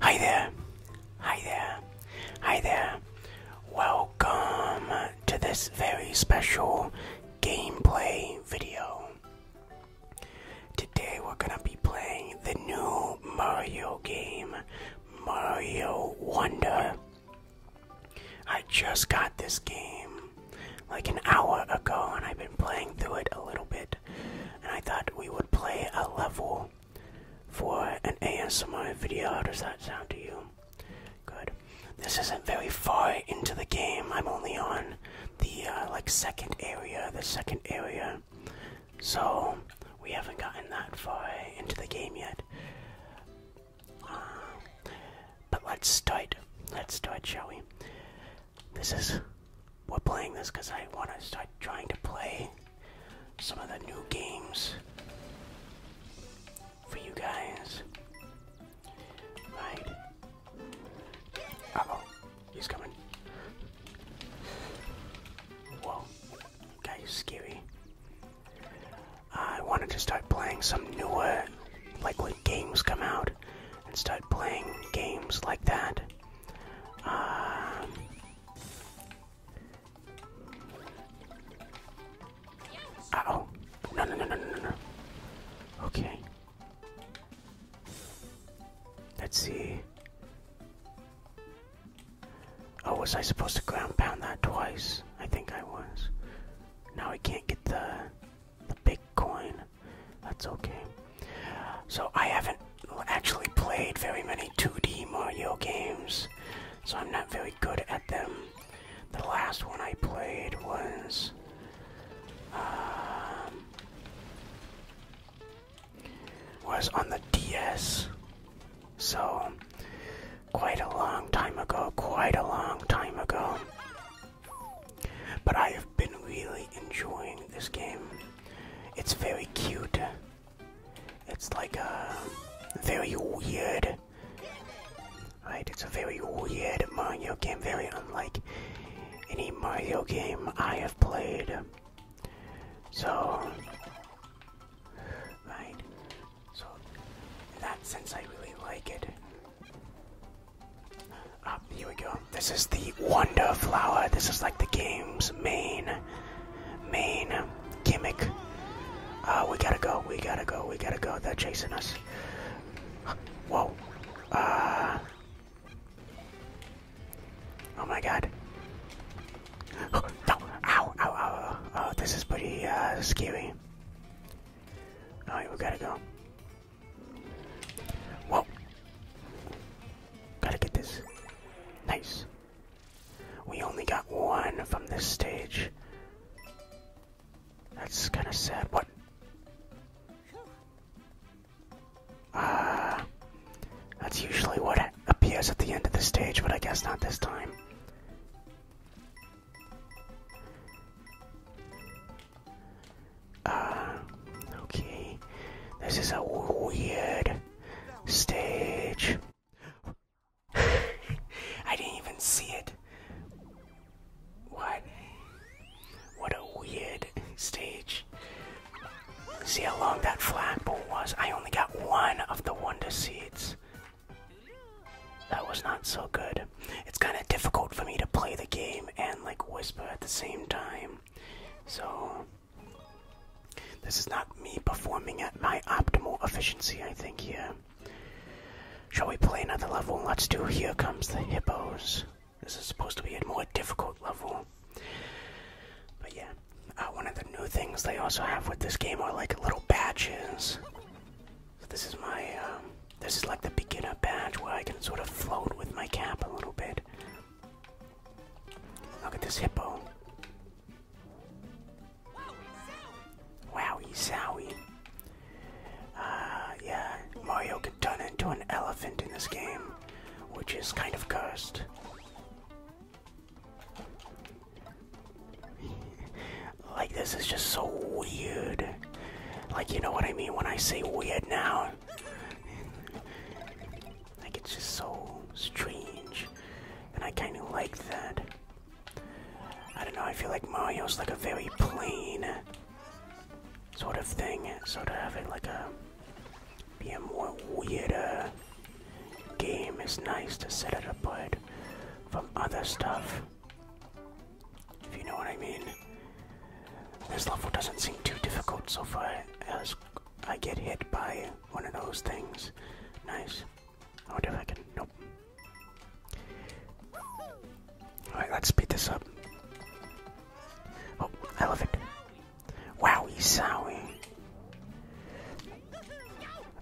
Hi there, hi there, hi there. Welcome to this very special gameplay video. Today we're gonna be playing the new Mario game, Mario Wonder. I just got this game like an hour ago and I've been playing through it a little bit. And I thought we would play a level for an ASMR video. How does that sound to you? Good. This isn't very far into the game. I'm only on the uh, like second area, the second area. So we haven't gotten that far into the game yet. Um, but let's start. Let's start, shall we? This is we're playing this because I want to start trying to play some of the new games for you guys. Right. Uh he's coming. Whoa, guy's scary. I wanted to start playing some newer, like when games come out, and start playing games like that oh. Okay. Let's see. Oh, was I supposed to ground pound that twice? I think I was. Now I can't get the the big coin. That's okay. So I haven't actually played very many 2D Mario games, so I'm not very good at them. The last one I played was. Um, was on the DS. So, quite a long time ago, quite a long time ago. But I been really enjoying this game. It's very cute. It's like a uh, very weird, right? It's a very weird Mario game, very unlike any Mario game I have played. So, right? So, in that sense, I really like it. Ah, here we go. This is the Wonder Flower. This is like the game's main, main gimmick. Uh, we gotta go. We gotta go. We gotta go. They're chasing us. Whoa. Uh. Oh my god. no. Ow. Ow. Ow. Oh, this is pretty uh, scary. Alright, we gotta go. Whoa. Gotta get this. Nice. We only got one from this stage. That's kind of sad. What? Ah. that's usually what appears at the end of the stage, but I guess not this time. Uh, okay. This is a weird stage. I didn't even see it. What? What a weird stage. See how long that flagpole was? I only got one of the Wonder Seeds. That was not so good. It's kind of difficult for me to play the game and like whisper at the same time. So, this is not me performing at my optimal efficiency, I think, Yeah. Shall we play another level? Let's do Here Comes the Hippos. This is supposed to be a more difficult level. But yeah, uh, one of the new things they also have with this game are like little badges. So this is my, um, this is like the beginner badge where I can sort of float with my cap a little bit. Look at this hippo. Wowie zowie. Uh, yeah, Mario can turn into an elephant in this game, which is kind of cursed. like, this is just so weird. Like, you know what I mean when I say weird now? like it's just so strange, and I kind of like that. I don't know. I feel like Mario's like a very plain sort of thing, so to have it like a be a more weirder game is nice to set it apart from other stuff. If you know what I mean. This level doesn't seem too difficult so far as I get hit by one of those things. Nice. I wonder if I can. Nope. Alright, let's speed this up. Oh, I love it. Wowie sowie.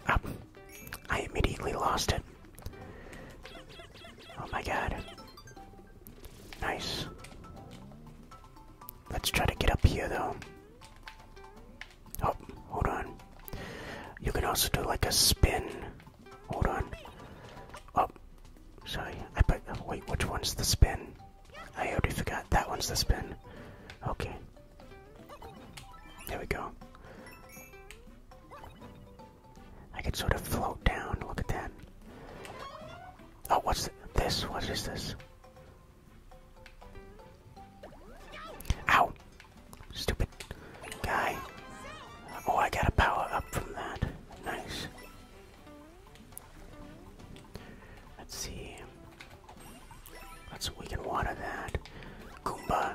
Up. I immediately lost it. Oh my god. Nice. Let's try to get up here though. Oh, hold on. You can also do like a spin. Hold on. Oh, sorry. I put. Wait, which one's the spin? I already forgot. That one's the spin. Okay. There we go. I can sort of float down. Look at that. Oh, what's this? What is this? Ow! Stupid guy. Oh, I got a power up from that. Nice. Let's see. Let's we can water that. Goomba.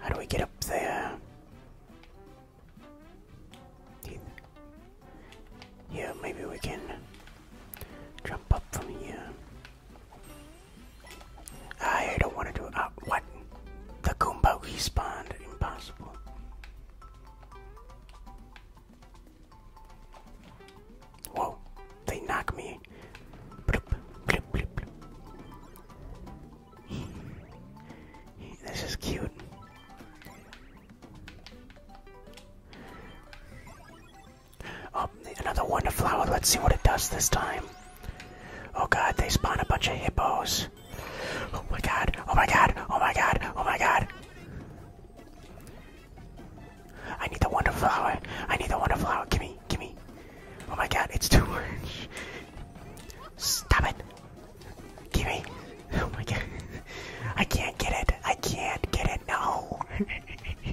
How do we get up there? Yeah, maybe we can jump up from here. I don't want to do uh, what? The Goomba spawned Impossible. Whoa, they knock me. this is cute. Oh, another wonder flower. Let's see what it does this time. Oh god, they spawn a bunch of hippos. Oh my god, oh my god, oh my god, oh my god. I need the wonder flower. I need the wonder flower. Gimme, gimme. Oh my god, it's too much. Stop it. Gimme. Oh my god. I can't get it. I can't get it. No.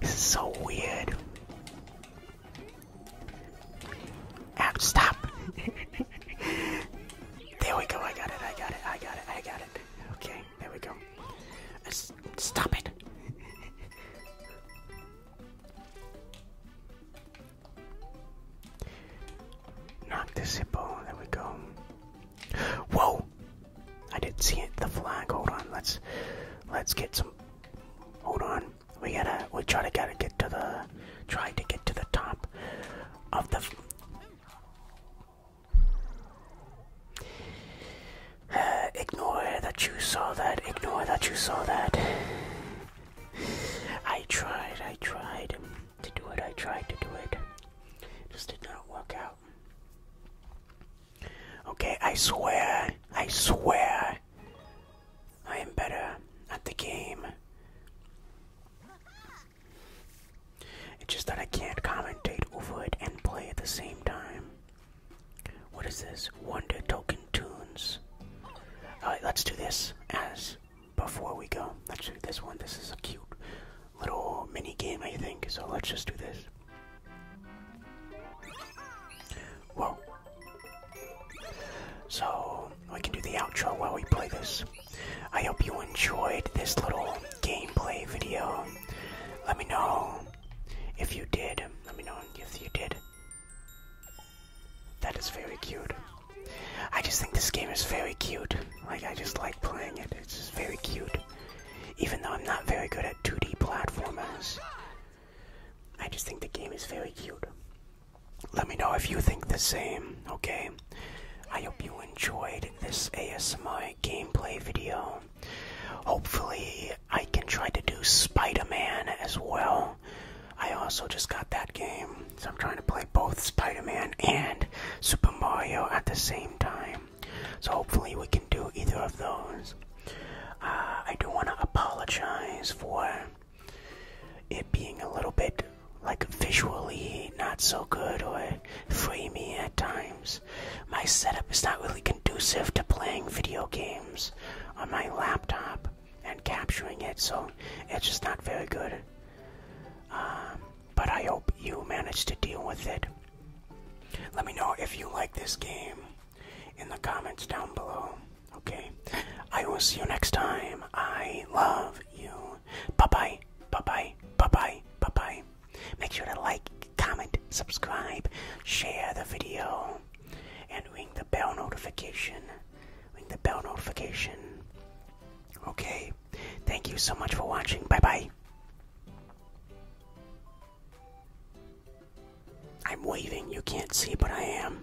this is so weird. Ow, stop. there we go. I got it. I got it. I got it. I got it. Okay. There we go. stop it. Knock the zippo. There we go. Whoa! I didn't see it. The flag. Hold on. Let's let's get some. Hold on. We gotta. We try to gotta get to the. Try to get to the top of the. Uh, ignore that you saw that. Ignore that you saw that. I tried. I tried to do it. I tried to do it. Just did not work out. Okay, I swear, I swear, I am better at the game. It's just that I can't commentate over it and play at the same time. What is this? Wonder Token Tunes. Alright, let's do this as before we go, let's do this one. This is a cute little mini game, I think. So let's just do this. Whoa. So we can do the outro while we play this. I hope you enjoyed this little gameplay video. Let me know if you did. Let me know if you did. That is very cute. I just think this game is very cute. Like, I just like playing it. It's just very cute. Even though I'm not very good at 2D platformers, I just think the game is very cute. Let me know if you think the same, okay? I hope you enjoyed this ASMI gameplay video. Hopefully, I can try to do Spider Man as well. I also just got that game, so I'm trying to play both Spider Man and Super Mario at the same time. So hopefully, we can do either of those. Uh, I do want to apologize for it being a little bit like visually not so good or framey at times. My setup is not really conducive to playing video games on my laptop and capturing it, so it's just not very good. Um, but I hope you managed to deal with it. Let me know if you like this game in the comments down below. Okay. I will see you next time. I love you. Bye bye. Bye bye. Bye bye. Bye bye. Make sure to like, comment, subscribe, share the video, and ring the bell notification. Ring the bell notification. Okay. Thank you so much for watching. Bye bye. I'm waving. You can't see, but I am.